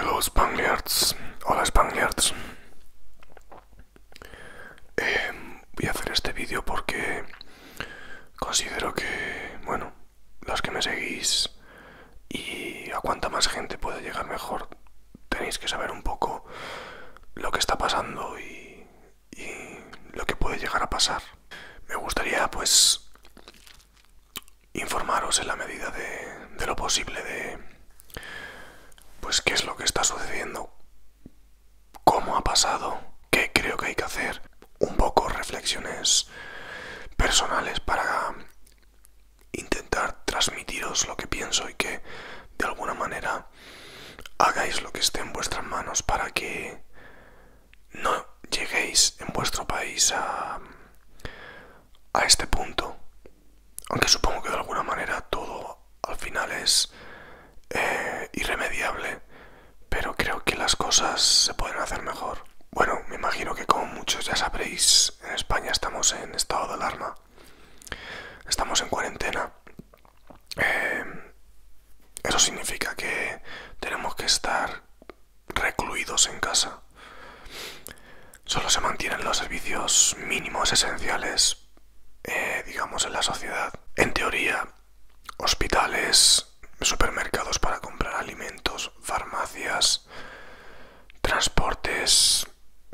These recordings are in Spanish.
Hola Spangliards, hola Spangliards. Eh, voy a hacer este vídeo porque Considero que, bueno, los que me seguís y a cuanta más gente puede llegar mejor, tenéis que saber un poco lo que está pasando y, lo que puede llegar a pasar. Me gustaría, pues, informaros en la medida de, de lo posible de, pues, qué es lo que está sucediendo cómo ha pasado, qué creo que hay que hacer, un poco reflexiones personales para intentar transmitiros lo que pienso y que de alguna manera hagáis lo que esté en vuestras manos para que no lleguéis en vuestro país a, a este punto. Aunque supongo que de alguna manera todo al final es eh, irremediable pero creo que las cosas se pueden hacer mejor. Bueno, me imagino que como muchos ya sabréis, en España estamos en estado de alarma, estamos en cuarentena. Eh, eso significa que tenemos que estar recluidos en casa. Solo se mantienen los servicios mínimos esenciales, eh, digamos, en la sociedad. En teoría, hospitales, supermercados para comprar alimentos, farmacias, transportes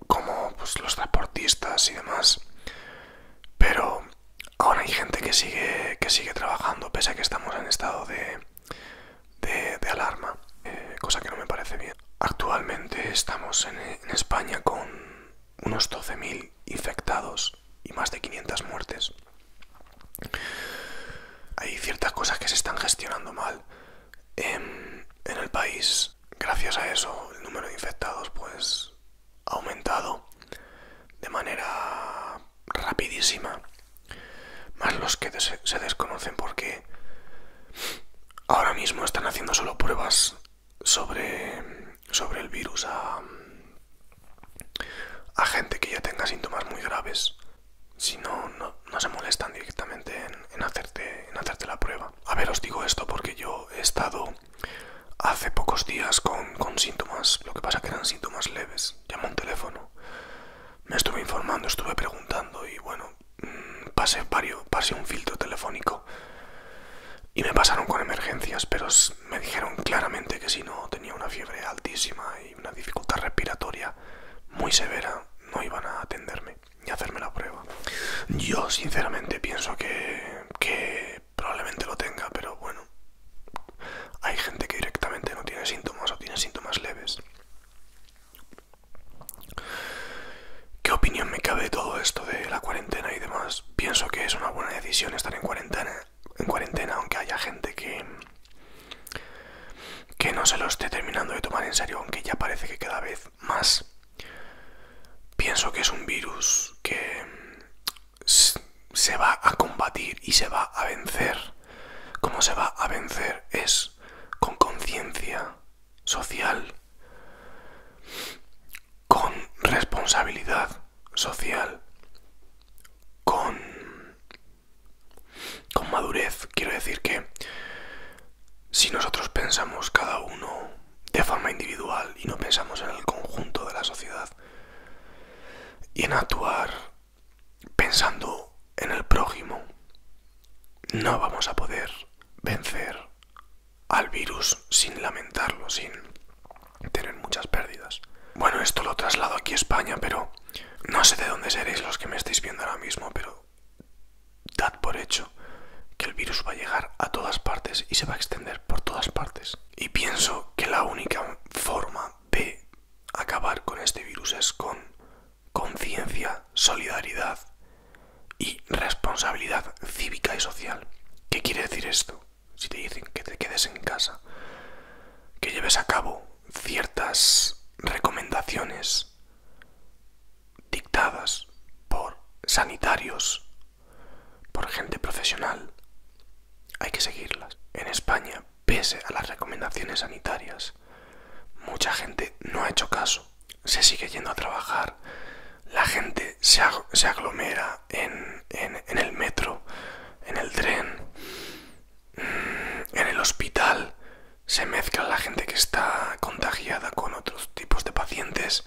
como pues, los transportistas y demás. Pero ahora hay gente que sigue, que sigue trabajando pese a que estamos en estado de, de, alarma, eh, cosa que no me parece bien. Actualmente estamos en España con unos 12.000 infectados y más de 500 muertes. Hay ciertas cosas que se están gestionando mal em, en, el país. Gracias a eso, el número de infectados pues ha aumentado de manera rapidísima. Más los que se desconocen porque ahora mismo están haciendo solo pruebas sobre, el virus a, gente que ya tenga síntomas muy graves si no, no, se molestan directamente en, hacerte, la prueba. A ver, os digo esto porque yo he estado hace pocos días con, síntomas, lo que pasa que eran síntomas leves. llamo un teléfono, me estuve informando, estuve preguntando y bueno, mm, pase varios, pasé un filtro telefónico y me pasaron con emergencias, pero me dijeron claramente que si no tenía una fiebre altísima y una dificultad respiratoria muy severa, no iban a atenderme ni hacerme la prueba. Yo sinceramente pienso que, que probablemente lo tenga, pero bueno, hay gente que directamente no tiene síntomas o tiene síntomas leves. ¿Qué opinión me cabe de todo esto de la cuarentena y demás? Pienso que es una buena decisión estar en cuarentena, aunque haya gente que, que no se lo esté terminando de tomar en serio, aunque ya parece que cada vez más. Pienso que es un virus que se va a combatir y se va a vencer. ¿Cómo se va a vencer? Es con conciencia, social, con responsabilidad social, con, con madurez. Quiero decir que si nosotros pensamos cada uno de forma individual y no pensamos en el conjunto de la sociedad y en actuar pensando en el prójimo, no vamos a poder vencer al virus sin lamentarlo, sin tener muchas pérdidas. Bueno, esto lo traslado aquí a España, pero no sé de dónde seréis los que me estáis viendo ahora mismo, pero dad por hecho que el virus va a llegar a todas partes y se va a extender por todas partes. Y pienso que la única forma de acabar con este virus es con conciencia, solidaridad y responsabilidad cívica y social. ¿Qué quiere decir esto? Si te dicen que te quedes en casa, que lleves a cabo ciertas recomendaciones dictadas por sanitarios, por gente profesional, hay que seguirlas. En España, pese a las recomendaciones sanitarias, mucha gente no ha hecho caso se sigue yendo a trabajar, la gente se, aglomera en, en el metro, en el tren, mm, en el hospital, se mezcla la gente que está contagiada con otros tipos de pacientes.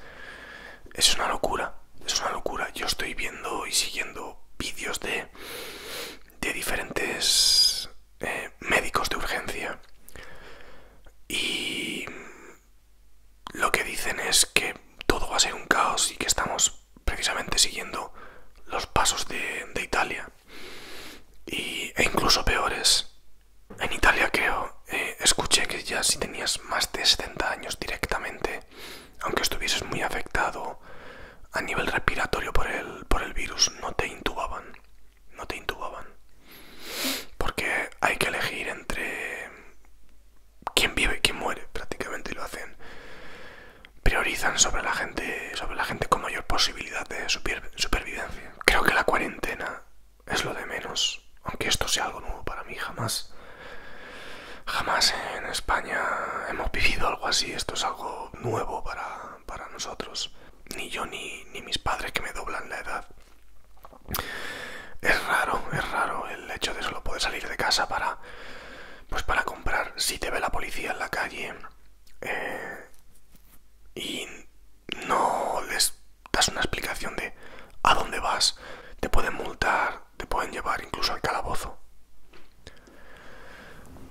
Es una locura, es una locura. Yo estoy viendo y siguiendo vídeos de, de diferentes eh, médicos de urgencia y lo que dicen es que todo va a ser un caos y que estamos precisamente siguiendo los pasos de, Italia y, e incluso peores. En Italia creo, eh, escuché que ya si tenías más de 70 años directamente, aunque estuvieses muy afectado a nivel respiratorio por el, por el virus, no te intubaban no te intubaban. Porque hay que elegir entre quién vive y quién muere, prácticamente lo hacen. Priorizan sobre la gente, sobre la gente con mayor posibilidad de supervivencia. Creo que la cuarentena es lo de menos, aunque esto sea algo nuevo para mí, jamás. Jamás en España hemos vivido algo así, esto es algo nuevo para, para nosotros ni yo ni, ni mis padres que me doblan la edad. Es raro, es raro el hecho de solo poder salir de casa para, pues para comprar si te ve la policía en la calle eh, y no les das una explicación de a dónde vas, te pueden multar, te pueden llevar incluso al calabozo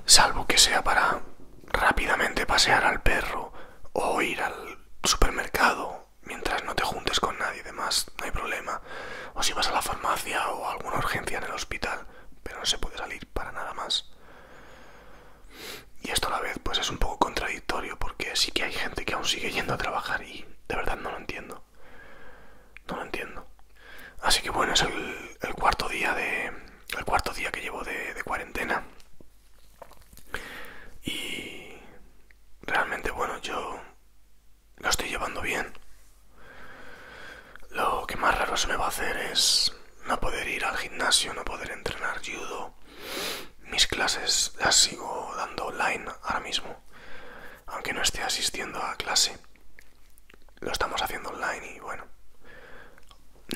salvo que sea para rápidamente pasear al perro o ir al supermercado mientras no te juntes con nadie demás, no hay problema, o si vas a la farmacia o alguna urgencia en el hospital, pero no se puede salir para nada más. Y esto a la vez pues es un poco contradictorio porque sí que hay gente que aún sigue yendo a trabajar y de verdad no lo entiendo. No lo entiendo. Así que bueno, es el cuarto día de, el cuarto día que llevo de, cuarentena. Y realmente, bueno, yo lo estoy llevando bien. Lo que más raro se me va a hacer es no poder ir al gimnasio, no poder entrenar judo. Mis clases las sigo dando online ahora mismo, aunque no esté asistiendo a clase lo estamos haciendo online y bueno,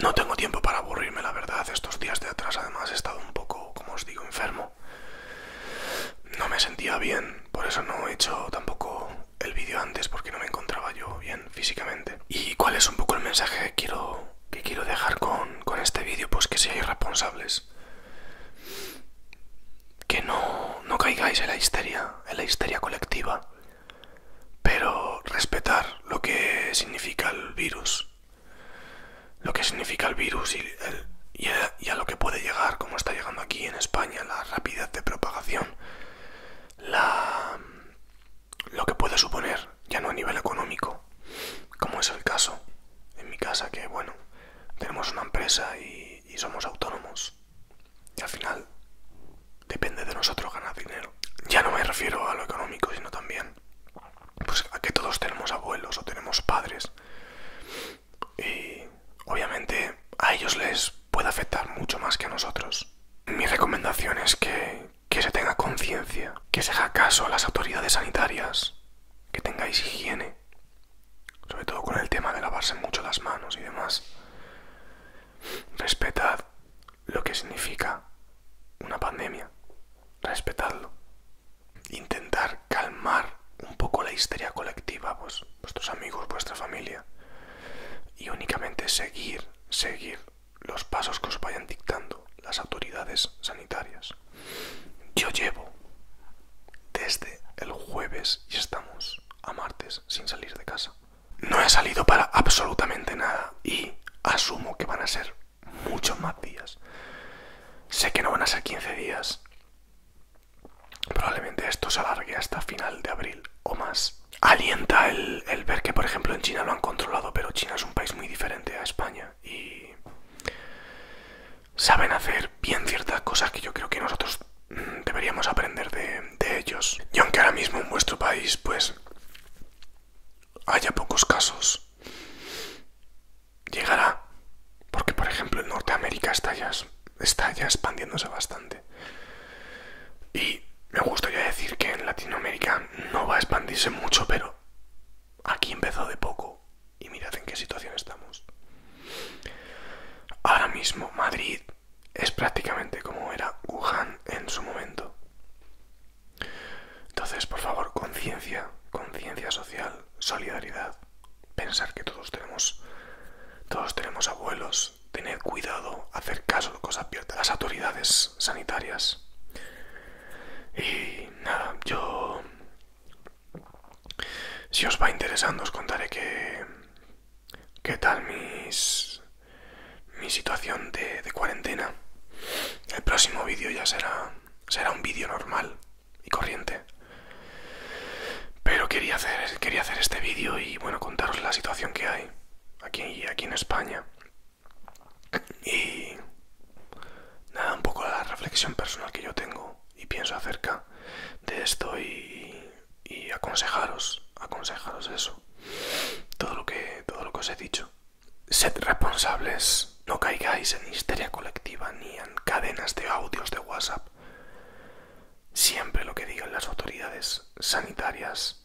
no tengo tiempo para aburrirme, la verdad. Estos días de atrás además he estado un poco, como os digo, enfermo. No me sentía bien, por eso no he hecho tampoco el vídeo antes porque no me encontraba yo bien físicamente. ¿Y cuál es un poco el mensaje que quiero, que quiero dejar con, este vídeo? Pues que seáis responsables. Que no, no caigáis en la histeria, en la histeria colectiva pero respetar lo que significa el virus, lo que significa el virus y, a, lo que puede llegar, como está llegando aquí en España, la rapidez de propagación, la, lo que puede suponer, ya no a nivel económico, como es el caso en mi casa, que bueno, tenemos una empresa y somos autónomos al final depende de nosotros ganar dinero. Ya no me refiero a lo económico, sino también pues, a que todos tenemos abuelos o tenemos padres. Y obviamente a ellos les puede afectar mucho más que a nosotros. Mi recomendación es que, que se tenga conciencia, que se haga caso a las autoridades sanitarias, que tengáis higiene, sobre todo con el tema de lavarse mucho las manos y demás. Respetad lo que significa una pandemia. Respetadlo. Intentar calmar un poco la histeria colectiva, vos, pues, vuestros amigos, vuestra familia. Y únicamente seguir, seguir los pasos que os vayan dictando las autoridades sanitarias. Yo llevo desde el jueves y estamos a martes sin salir de casa. No he salido para absolutamente nada y asumo que van a ser muchos más días. Sé que no van a ser 15 días. Probablemente esto se alargue hasta final de abril o más. Alienta el, el ver que, por ejemplo, en China lo han controlado, pero China es un país muy diferente a España y saben hacer bien ciertas cosas que yo creo que nosotros mm, deberíamos aprender de, ellos. Y aunque ahora mismo en vuestro país, pues, haya pocos casos, llegará. Porque, por ejemplo, en Norteamérica está está ya expandiéndose bastante. Y me gustaría decir que en Latinoamérica no va a expandirse mucho, pero aquí empezó de poco y mirad en qué situación estamos. Ahora mismo Madrid es prácticamente como era Wuhan en su momento. Entonces, por favor, conciencia, conciencia social, solidaridad. Pensar que todos tenemos todos tenemos abuelos, Tener cuidado, hacer caso de cosas las autoridades sanitarias. Y nada, yo si os va interesando os contaré que... qué tal mi situación de, cuarentena. El próximo vídeo ya será, será un vídeo normal y corriente. Pero quería hacer, este vídeo y bueno, contaros la situación que hay aquí, aquí en España. Y nada, un poco la reflexión personal que yo tengo y pienso acerca de esto y, aconsejaros, aconsejaros eso, todo lo, que, todo lo que os he dicho. Sed responsables, no caigáis en histeria colectiva ni en cadenas de audios de WhatsApp. Siempre lo que digan las autoridades sanitarias.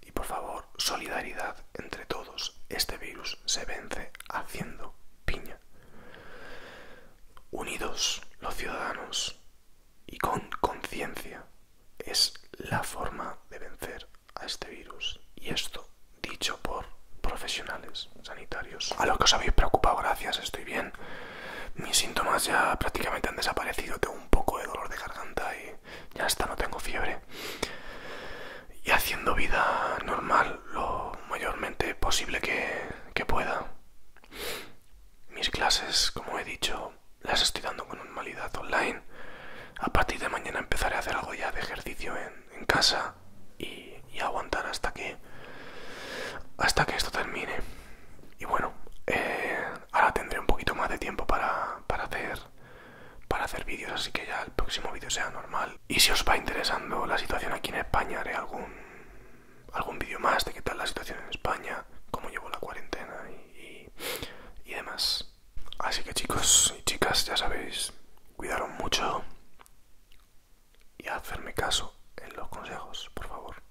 Y por favor, solidaridad entre todos. Este virus se vence haciendo piña. Unidos los ciudadanos y con conciencia es la forma de vencer a este virus. Y esto dicho por profesionales sanitarios. A lo que os habéis preocupado, gracias, estoy bien. Mis síntomas ya prácticamente han desaparecido, tengo un poco de dolor de garganta y ya está, no tengo fiebre y haciendo vida normal lo mayormente posible que, pueda. Mis clases, como he dicho, las estoy dando con normalidad online. A partir de mañana empezaré a hacer algo ya de ejercicio en, casa y, aguantar hasta que hasta que esto termine. Y bueno, eh, ahora tendré un poquito más de tiempo para, para hacer para hacer vídeos, así que ya el próximo vídeo sea normal y si os va interesando la situación aquí en España, haré algún, algún vídeo más de qué tal la situación en España, cómo llevo la cuarentena y, y, demás. Así que chicos y chicas, ya sabéis, cuidaron mucho y hacerme caso en los consejos, por favor.